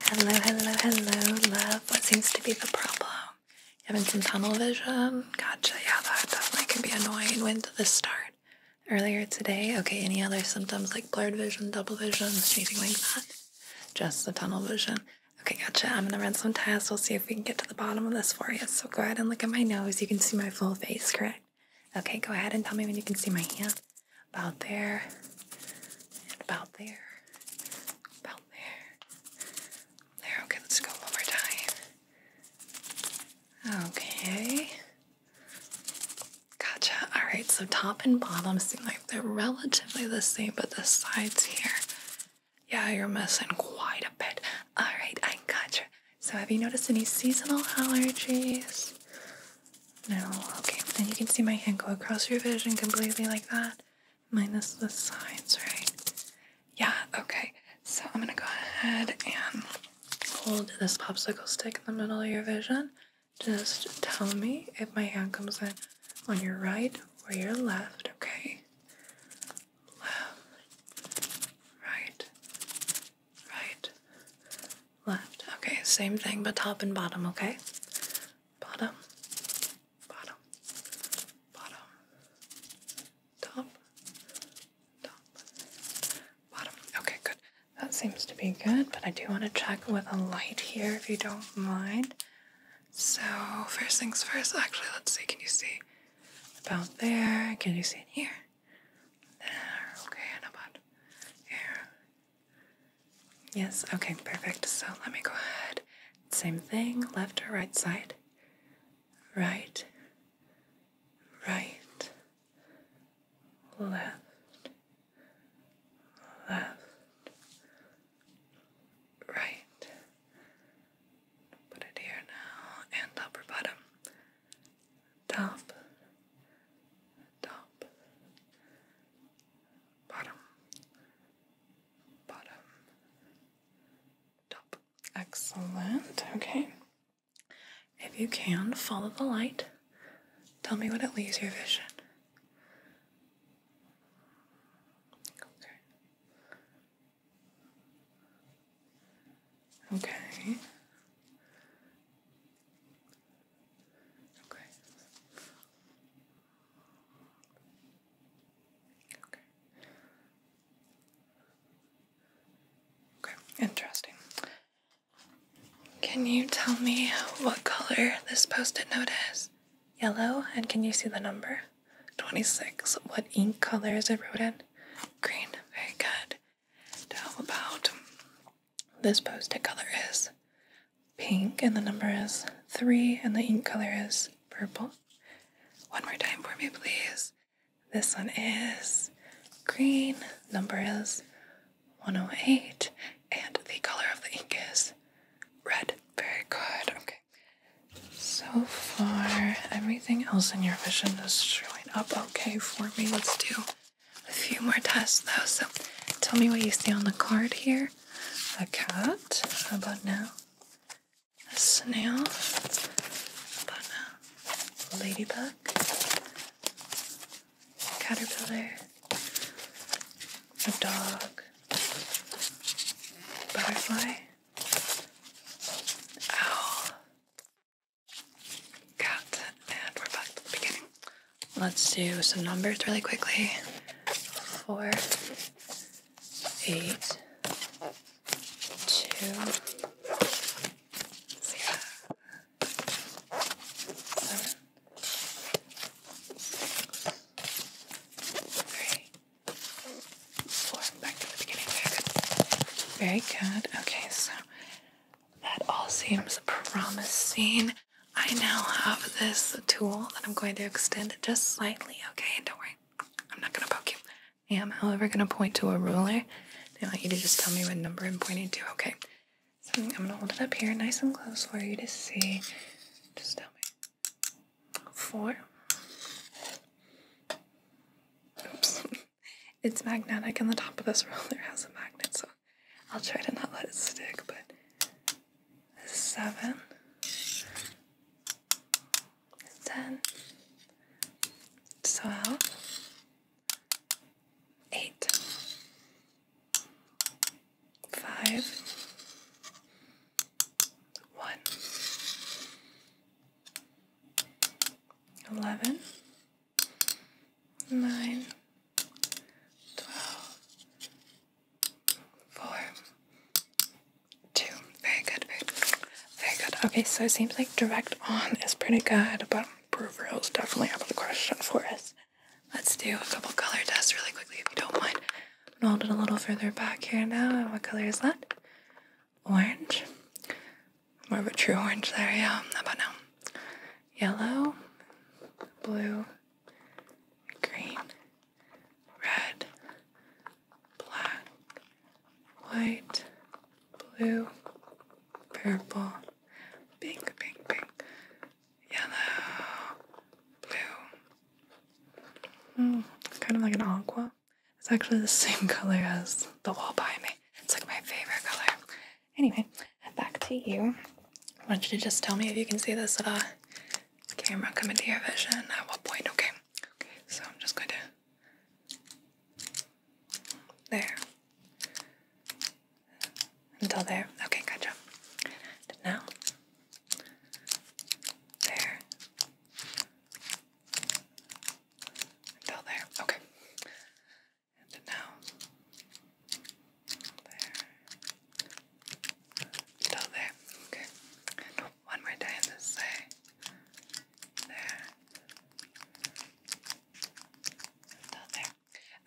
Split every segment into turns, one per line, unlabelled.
Hello, hello, hello, love. What seems to be the problem? having some tunnel vision? Gotcha. Yeah, that definitely can be annoying. When did this start? Earlier today? Okay, any other symptoms like blurred vision, double vision, anything like that? Just the tunnel vision. Okay, gotcha. I'm gonna run some tests. We'll see if we can get to the bottom of this for you. So go ahead and look at my nose. You can see my full face, correct? Okay, go ahead and tell me when you can see my hand about there, and about there, about there. There, okay, let's go one more time. Okay. Gotcha. Alright, so top and bottom seem like they're relatively the same, but the sides here, yeah, you're missing quite a bit. Alright, I gotcha. So, have you noticed any seasonal allergies? No, okay. And you can see my hand go across your vision completely like that, minus the sides, right? Yeah, okay. So I'm gonna go ahead and hold this popsicle stick in the middle of your vision. Just tell me if my hand comes in on your right or your left, okay? Left, right, right, left. Okay, same thing, but top and bottom, okay? bottom, bottom, bottom, top, top, bottom. Okay, good. That seems to be good, but I do want to check with a light here if you don't mind. So, first things first, actually, let's see. Can you see about there? Can you see in here? There, okay, and about here, Yes, okay, perfect. So let me go ahead. Same thing, left or right side? Right, right, left, left, right. Put it here now, and upper bottom. Top, top, bottom, bottom, top. Excellent. Okay. If you can, follow the light. Tell me what it leaves your vision. Okay. Okay. Okay. Okay. Okay, interesting. Can you tell me what color this post it note is? Yellow, and can you see the number? 26. What ink color is it written? Green. Very good. Now, about this post-it color is pink and the number is three and the ink color is purple. One more time for me, please. This one is green, number is 108, and the color of the ink is red. Very good. Okay. So far, everything else in your vision is showing up okay for me. Let's do a few more tests though. So tell me what you see on the card here a cat. How about now? A snail. about now? ladybug. caterpillar. A dog. butterfly. Owl. Cat. And we're back to the beginning. Let's do some numbers really quickly. Four, eight, two, zero, seven, three, four. Back to the beginning. Very good. Okay, so that all seems promising. I now have this tool that I'm going to extend just slightly, okay? Don't worry, I'm not gonna poke you. I am, however, gonna point to a ruler. I want you to just tell me what number I'm pointing to, okay? I'm gonna hold it up here nice and close for you to see. Just tell me. Four. Oops. It's magnetic and the top of this ruler has a magnet, so I'll try to not let it stick, but seven, ten, twelve, eight, five, one, eleven, nine, twelve four, two. Very good, very good. Okay, so it seems like direct on is pretty good, but peripheral is definitely up of the question for us. Let's do a couple color tests really quickly if you don't mind. i it a little further back here now. And what color is that? Orange. More of a true orange there, yeah. How about now? Yellow, blue, green, red, black, white, blue, purple, pink, pink, pink, yellow, blue. Mm, it's kind of like an aqua. It's actually the same color as the wall behind me. It's like my favorite color. Anyway, back to you. I want you to just tell me if you can see this little uh, camera come into your vision at what point, okay? Okay, so I'm just going to. There. Until there. Okay, gotcha. And now. There. Until there. Okay. And now. There. Still there. Okay. one more day on this There. Still there.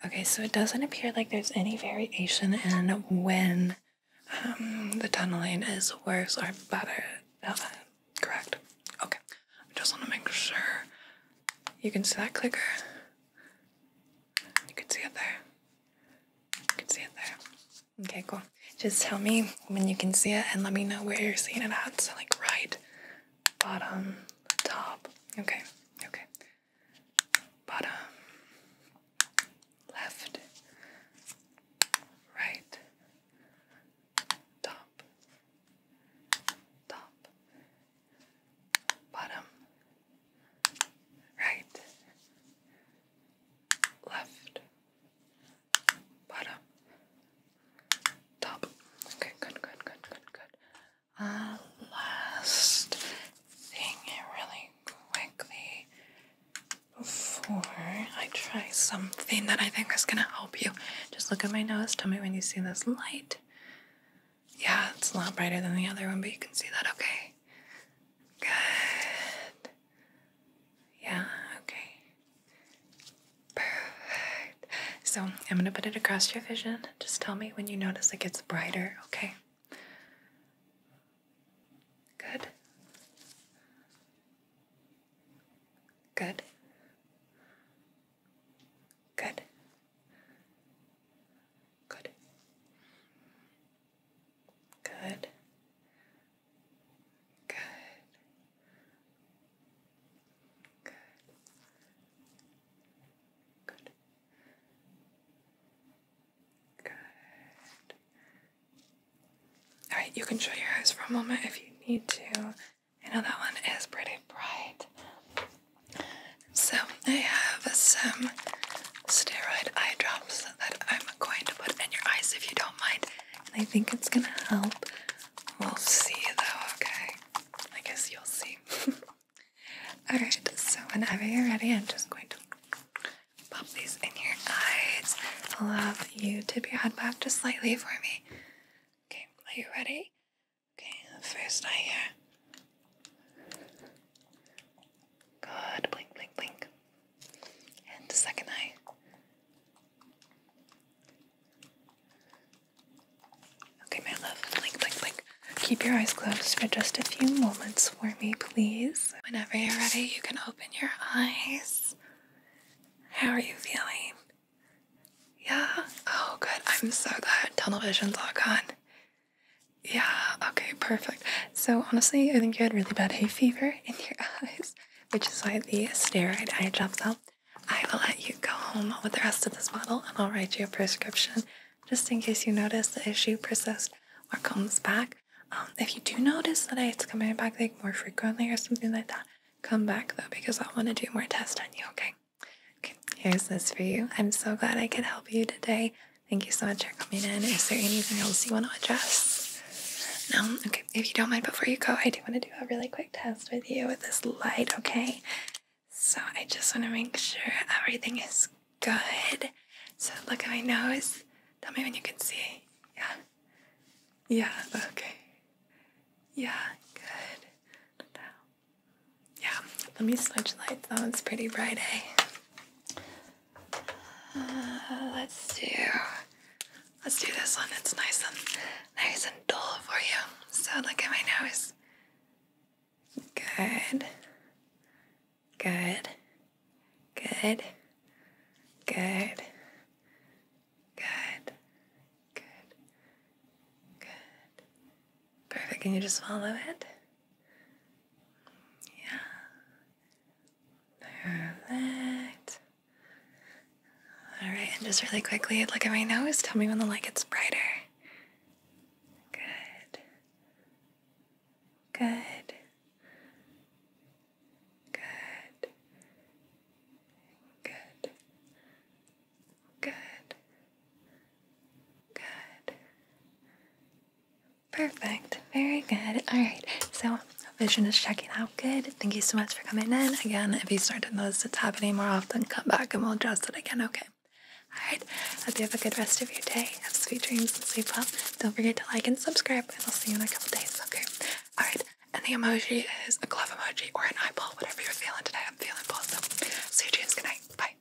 Okay, so it doesn't appear like there's any variation in when um, the tunneling is worse or better. correct. Okay. I just want to make sure you can see that clicker. You can see it there. You can see it there. Okay, cool. Just tell me when you can see it and let me know where you're seeing it at. So, like, right, bottom, top. Okay, okay. Bottom, left, right, top, top, bottom, right, left, bottom, top. Okay, good, good, good, good, good. Uh, last thing, really quickly, before I try something that I think is gonna help you. Just look at my nose. Tell me when you see this light. Yeah, it's a lot brighter than the other one, but you can see that okay. Good. Yeah, okay. Perfect. So I'm gonna put it across your vision. Just tell me when you notice it gets brighter, okay? Good. Good. Good. Good. Good. Good. Good. Good. Good. All right, you can show your eyes for a moment if you need to. I know that one is pretty bright. So I have some steroid eye drops that I'm going to put in your eyes if you don't mind. And I think it's gonna help. We'll see though, okay? I guess you'll see. Alright, so whenever you're ready, I'm just going to pop these in your eyes. I'll have you tip your head back just slightly for me. Okay, are you ready? Okay, first eye here. Good. Blink, blink, blink. And second eye. Okay, my love. Blink, blink, blink. Keep your eyes closed for just a few moments for me, please. Whenever you're ready, you can open your eyes. How are you feeling? Yeah? Oh, good. I'm so glad tunnel vision's all gone. Yeah, okay, perfect. So, honestly, I think you had really bad hay fever in your eyes, which is why the steroid eye drops help. I will let you go home with the rest of this bottle and I'll write you a prescription just in case you notice the issue persists or comes back. Um, if you do notice that it's coming back like more frequently or something like that, come back though because I want to do more tests on you, okay? Okay, here's this for you. I'm so glad I could help you today. Thank you so much for coming in. Is there anything else you want to address? No? Okay. If you don't mind, before you go, I do want to do a really quick test with you with this light, okay? So I just want to make sure everything is good. So look at my nose. Tell me when you can see. Yeah. Yeah, okay. Yeah, good. Now, yeah, let me switch lights. That one's pretty bright, Hey. Eh? Uh, let's do let's do this one. It's nice and nice and dull for you. So look at my nose. Good. Good. Good. Good. Good. Good. Good. Perfect. Can you just follow it? Yeah. Perfect. All right, and just really quickly, look at my nose. Tell me when the light gets brighter. Good. Good. Good. Good. Good. Good. Perfect. Very good. All right. So, vision is checking out good. Thank you so much for coming in. Again, if you start to notice it happening more often, come back and we'll adjust it again, okay? All right. Hope you have a good rest of your day. Have sweet dreams and sleep well. Don't forget to like and subscribe, and I'll see you in a couple days, okay? All right. And the emoji is a glove emoji or an eyeball, whatever you're feeling today. I'm feeling both. So, see you, dreams. Good night. Bye.